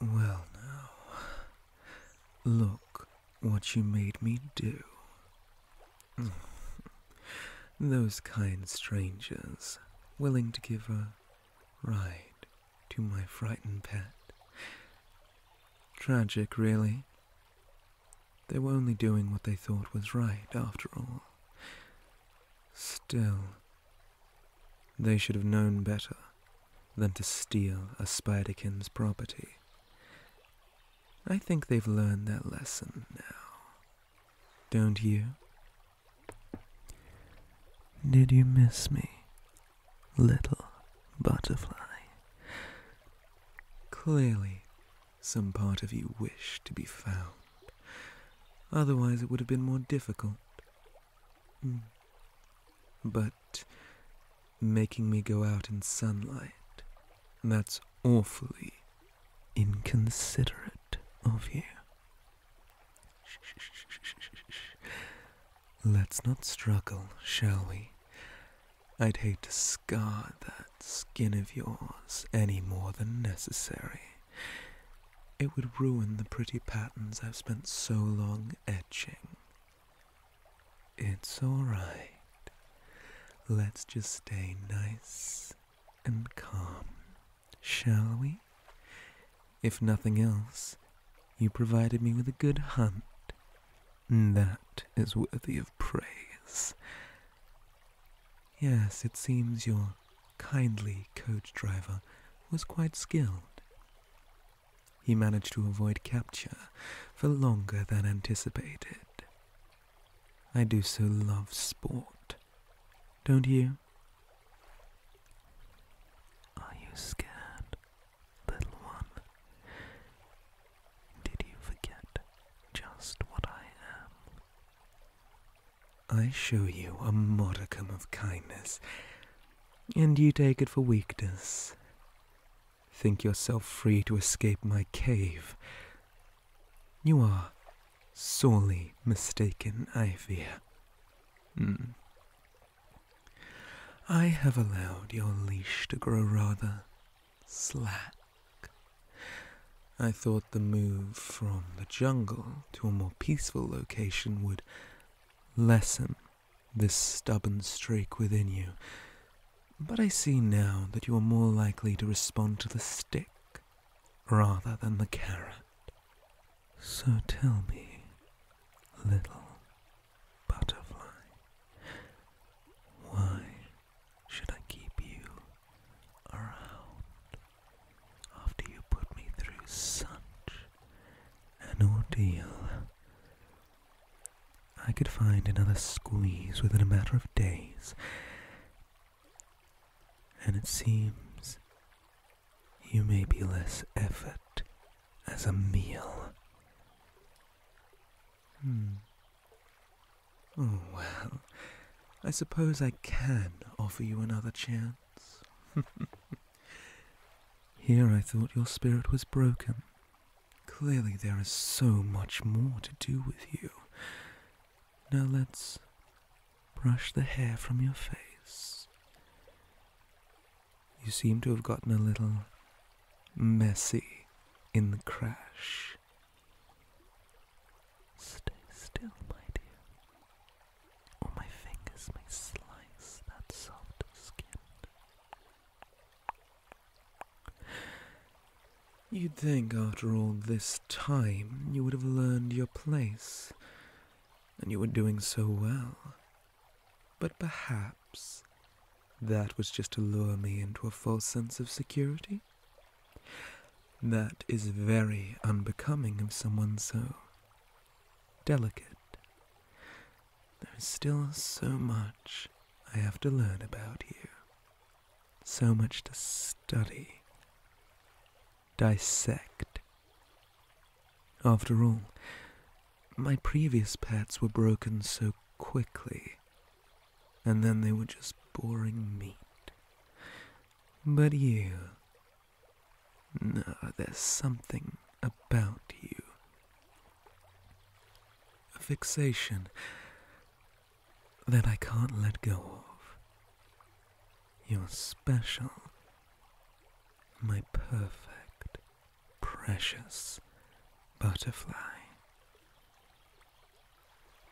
Well, now, look what you made me do. Those kind strangers willing to give a ride to my frightened pet. Tragic, really. They were only doing what they thought was right, after all. Still, they should have known better than to steal a spiderkin's property. I think they've learned their lesson now. Don't you? Did you miss me? little butterfly. Clearly, some part of you wished to be found. Otherwise, it would have been more difficult. Hmm. But making me go out in sunlight, that's awfully inconsiderate of you. Let's not struggle, shall we? I'd hate to scar that skin of yours any more than necessary. It would ruin the pretty patterns I've spent so long etching. It's alright. Let's just stay nice and calm, shall we? If nothing else, you provided me with a good hunt. and That is worthy of praise. Yes, it seems your kindly coach driver was quite skilled. He managed to avoid capture for longer than anticipated. I do so love sport, don't you? Are you scared, little one? Did you forget just what I am? I show you a modicum of kindness, and you take it for weakness. Think yourself free to escape my cave. You are sorely mistaken, I fear. Hmm. I have allowed your leash to grow rather slack. I thought the move from the jungle to a more peaceful location would lessen this stubborn streak within you, but I see now that you are more likely to respond to the stick rather than the carrot. So tell me, little butterfly, why should I keep you around after you put me through such an ordeal? I could find another squeeze within a matter of days, and it seems you may be less effort as a meal. Hmm. Oh, well, I suppose I can offer you another chance. Here I thought your spirit was broken. Clearly there is so much more to do with you. Now let's Brush the hair from your face. You seem to have gotten a little messy in the crash. Stay still, my dear, or my fingers may slice that soft skin. You'd think after all this time you would have learned your place and you were doing so well. But perhaps that was just to lure me into a false sense of security? That is very unbecoming of someone so delicate. There is still so much I have to learn about you, so much to study dissect. After all, my previous pets were broken so quickly, and then they were just boring meat. But you. No, there's something about you. A fixation that I can't let go of. You're special. My perfect, precious butterfly.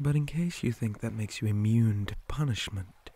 But in case you think that makes you immune to punishment,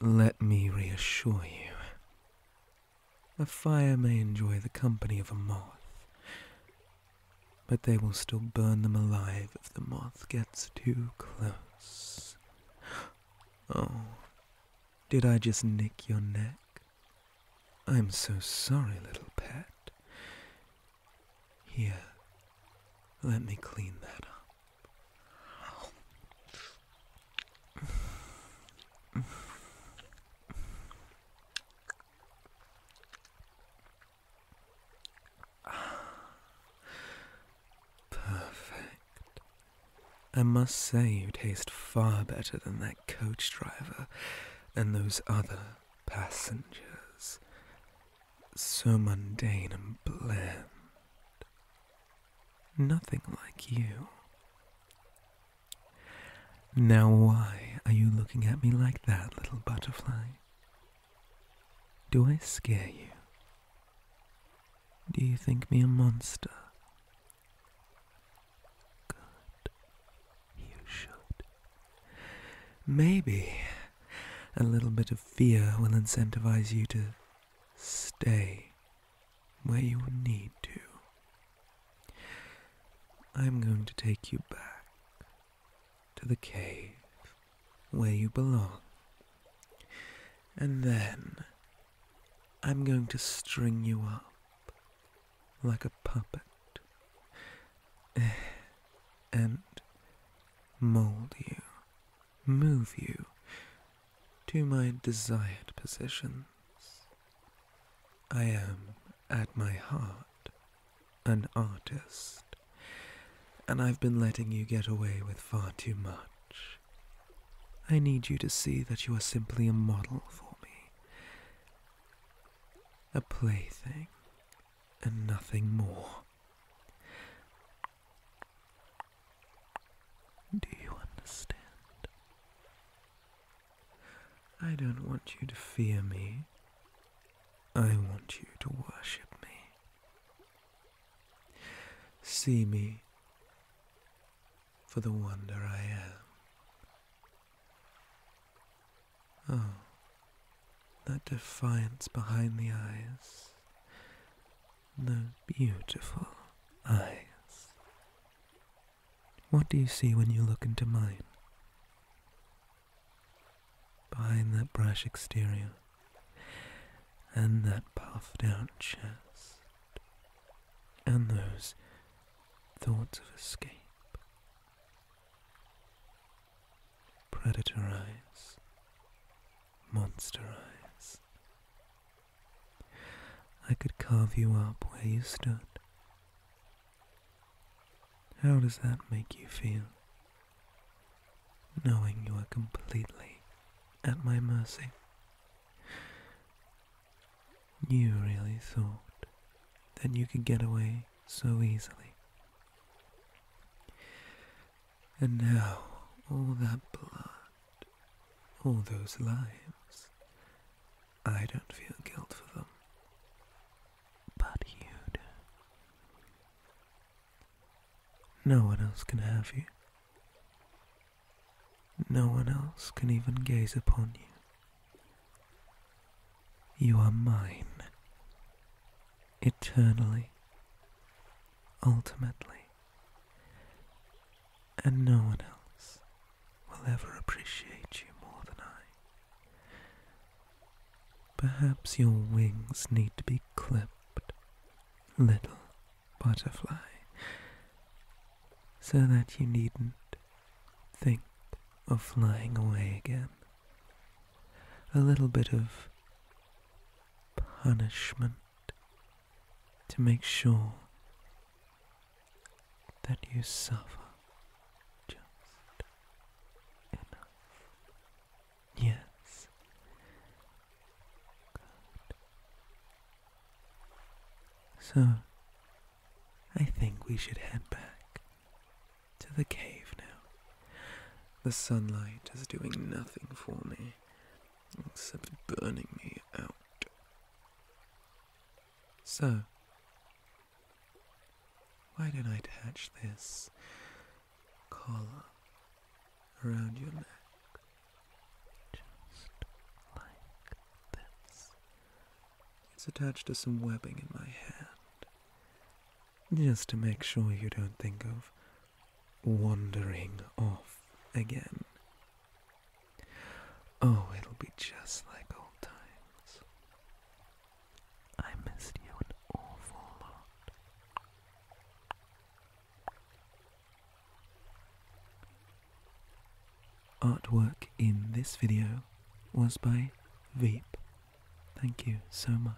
let me reassure you. A fire may enjoy the company of a moth, but they will still burn them alive if the moth gets too close. Oh, did I just nick your neck? I'm so sorry, little pet. Here, let me clean that up. Perfect. I must say you taste far better than that coach driver and those other passengers. So mundane and bland. Nothing like you. Now, why are you looking at me like that, little butterfly? Do I scare you? Do you think me a monster? Good. You should. Maybe a little bit of fear will incentivize you to stay where you need to. I'm going to take you back to the cave where you belong. And then I'm going to string you up like a puppet eh, and mold you, move you to my desired positions. I am, at my heart, an artist and I've been letting you get away with far too much. I need you to see that you are simply a model for me, a plaything, and nothing more. Do you understand? I don't want you to fear me. I want you to worship me. See me for the wonder I am. Oh, that defiance behind the eyes, those beautiful eyes. What do you see when you look into mine? behind that brash exterior and that puffed out chest and those thoughts of escape. Predator eyes, monster eyes. I could carve you up where you stood. How does that make you feel? knowing you are completely at my mercy. You really thought that you could get away so easily. And now, all that blood, all those lives, I don't feel guilt for them. But you do. No one else can have you. No one else can even gaze upon you. You are mine, eternally, ultimately, and no one else will ever appreciate you more than I. Perhaps your wings need to be clipped, little butterfly, so that you needn't think of flying away again. A little bit of punishment to make sure that you suffer just enough. Yes. Good. So, I think we should head back to the cave now. The sunlight is doing nothing for me except burning me out. So, why don't I attach this collar around your neck, just like this. It's attached to some webbing in my hand, just to make sure you don't think of wandering off again. Oh, it'll be just like old times. I missed you an awful lot. Artwork in this video was by Veep. Thank you so much.